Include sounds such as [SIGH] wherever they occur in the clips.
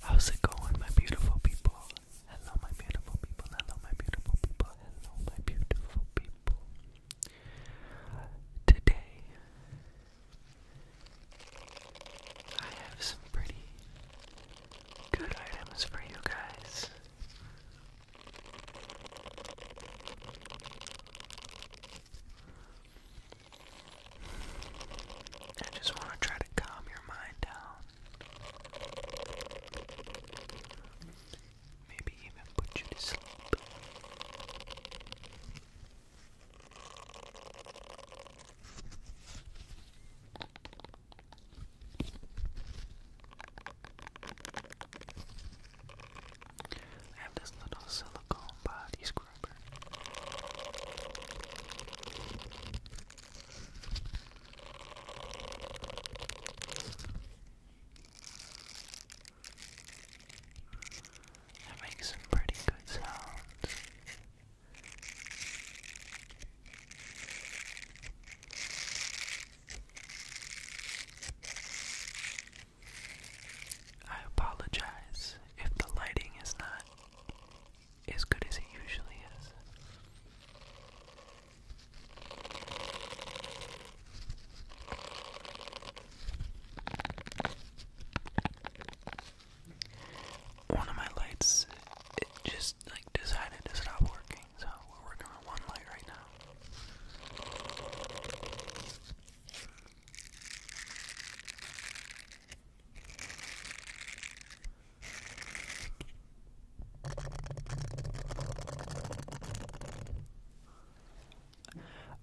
How's it going, my beautiful people? Hello, my beautiful people. Hello, my beautiful people. Hello, my beautiful people. Today, I have some pretty good items for you guys. I just want to try to calm your mind down. Maybe even put you to sleep. I have this little silicone body scrubber. That makes some pretty good sounds. I apologize if the lighting is not as good as it usually is. One of my lights, just like decided to stop working, so we're working on one light right now.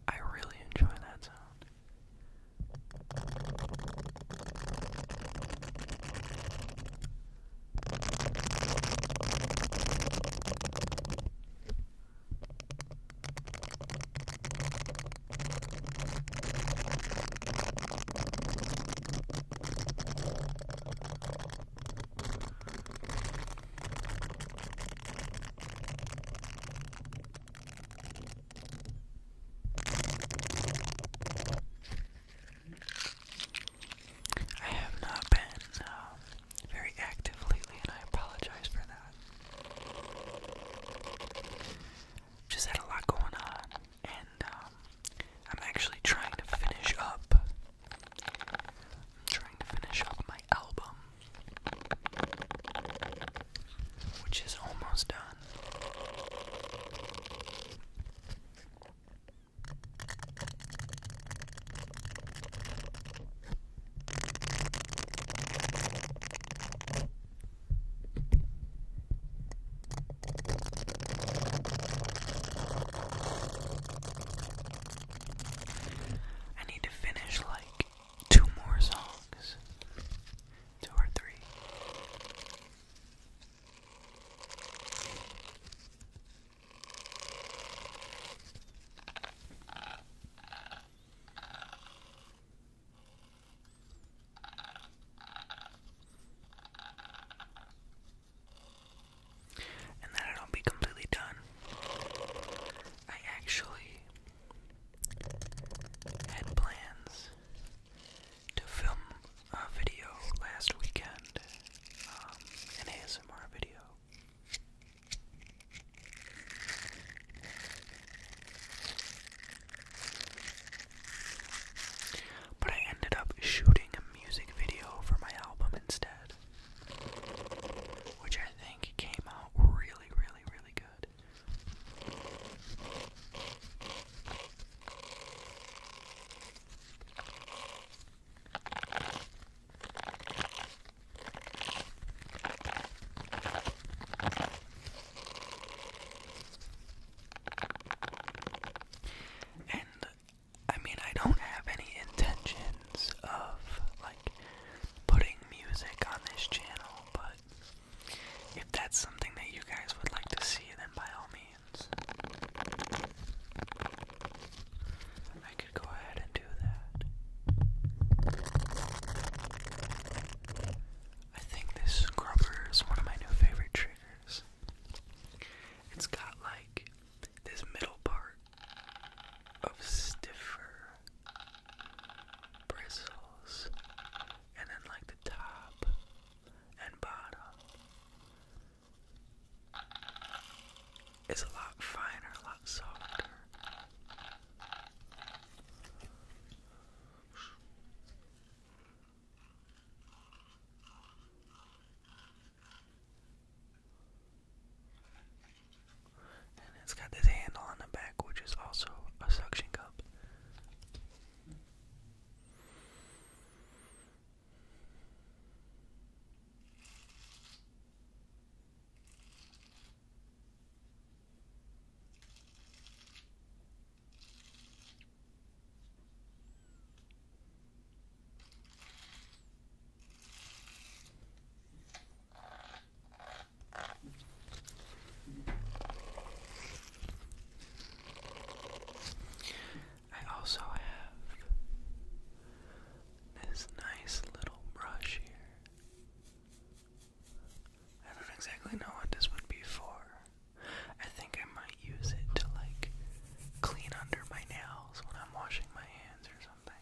I really enjoy that sound. I have not been um, very active lately, and I apologize for that. Just had a lot going on and um, I'm actually trying to finish up. trying to finish up my album, which is almost done. I need to finish like two more songs. Two or three. And that it'll be completely done. I actually had plans to film a video last weekend, um, an ASMR video. But I ended up shooting a music video for my album instead, which I think came out really, really, really good. And I mean, I don't have any intentions of like putting music on this channel, but if that's something that you guys would like to see, then by all means, I could go ahead and do that. I think this scrubber is one of my new favorite tricks. It's got like this middle part of stiffer bristles, and then like the top and bottom is a lot finer, a lot softer it's got this handle on the back, which is also a suction cup. I also have this nice little brush here. I don't exactly know what this would be for. I think I might use it to like clean under my nails when I'm washing my hands or something.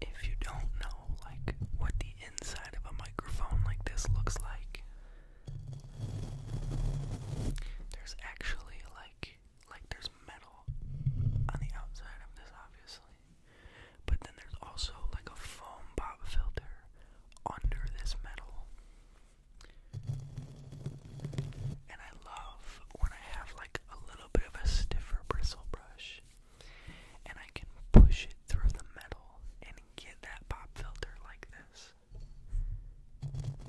If you don't know, like, what the inside of a microphone like this looks like, there's actually, like, like there's metal on the outside of this obviously. But then there's also like a foam pop filter under this metal. And I love when I have like a little bit of a stiffer bristle brush and I can push it through the metal and get that pop filter like this.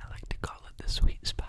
I like to call it the sweet spot.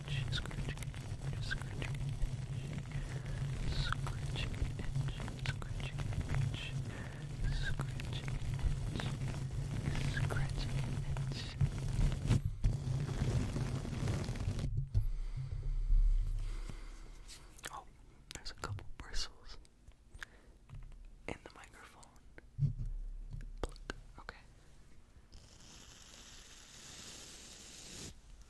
itch, scratching itch, scratching itch, scratching itch, scratching itch, scratching itch, scratching itch. Oh, there's a couple bristles in the microphone. Pluck. Okay.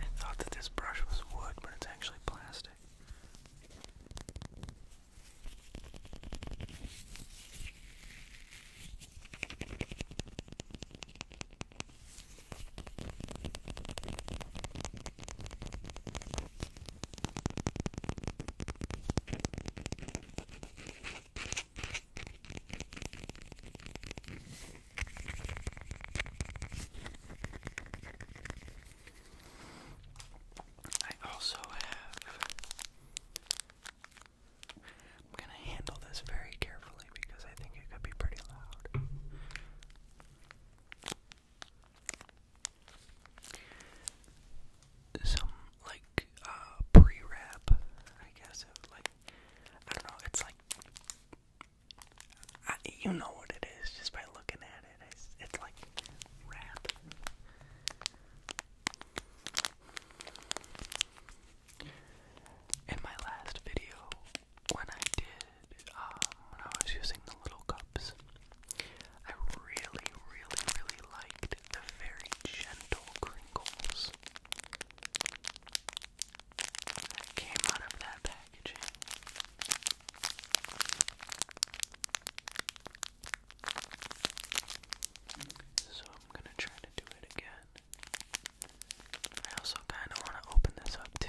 I thought that this brush was wood, but it's actually plastic. I also have. I'm going to handle this very carefully because I think it could be pretty loud. Some, like, uh, pre wrap, I guess. like, I don't know, it's like you know what it is just by looking at it. It's, like rap. In my last video, when I did, um, when I was using the little cups, I really, really, really liked the very gentle crinkles that came out of that packaging. So I'm gonna try to do it again. I also kind of want to open this up too.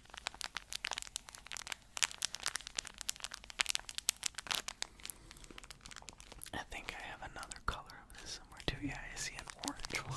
I think I have another color of this somewhere too. Yeah, I see an orange one.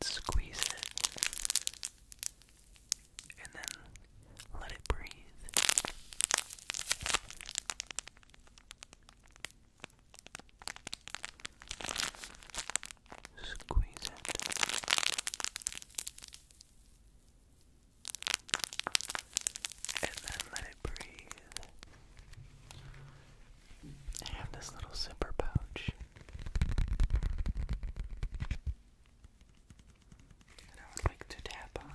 Let's squeeze it and then let it breathe. Squeeze it. And then let it I have this little zipper pouch. And I would like to tap on.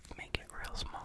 make it real small.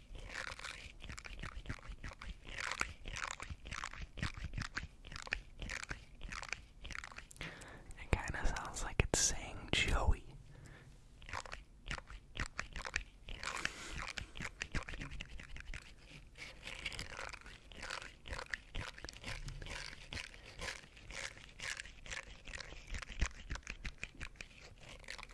It kind of sounds like it's saying Joey.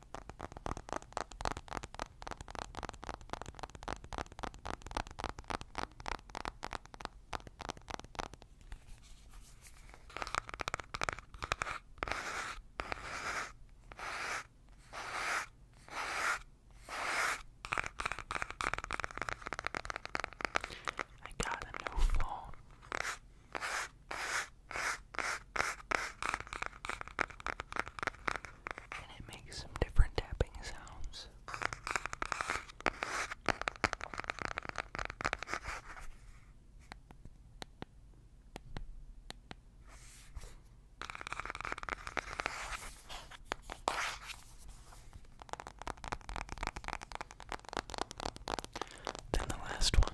I got a new phone. And it makes some different tapping sounds. Then the last one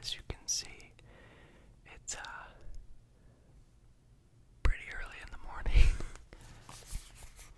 As you can see, it's uh pretty early in the morning. [LAUGHS]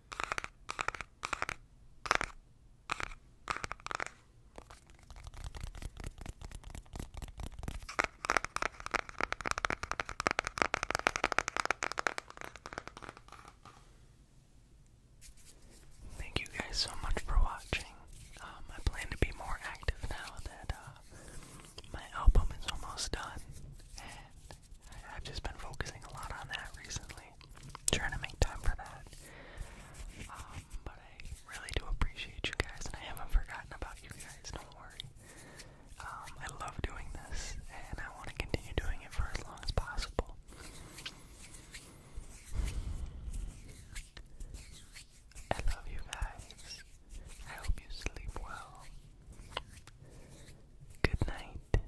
Thank you guys so much for watching. Um, I plan to be more active now that uh, my album is almost done, I've just been focusing a lot on that recently, trying to make time for that. Um, but I really do appreciate you guys, and I haven't forgotten about you guys, don't worry. Um, I love doing this, and I want to continue doing it for as long as possible. I love you guys. I hope you sleep well. Good night,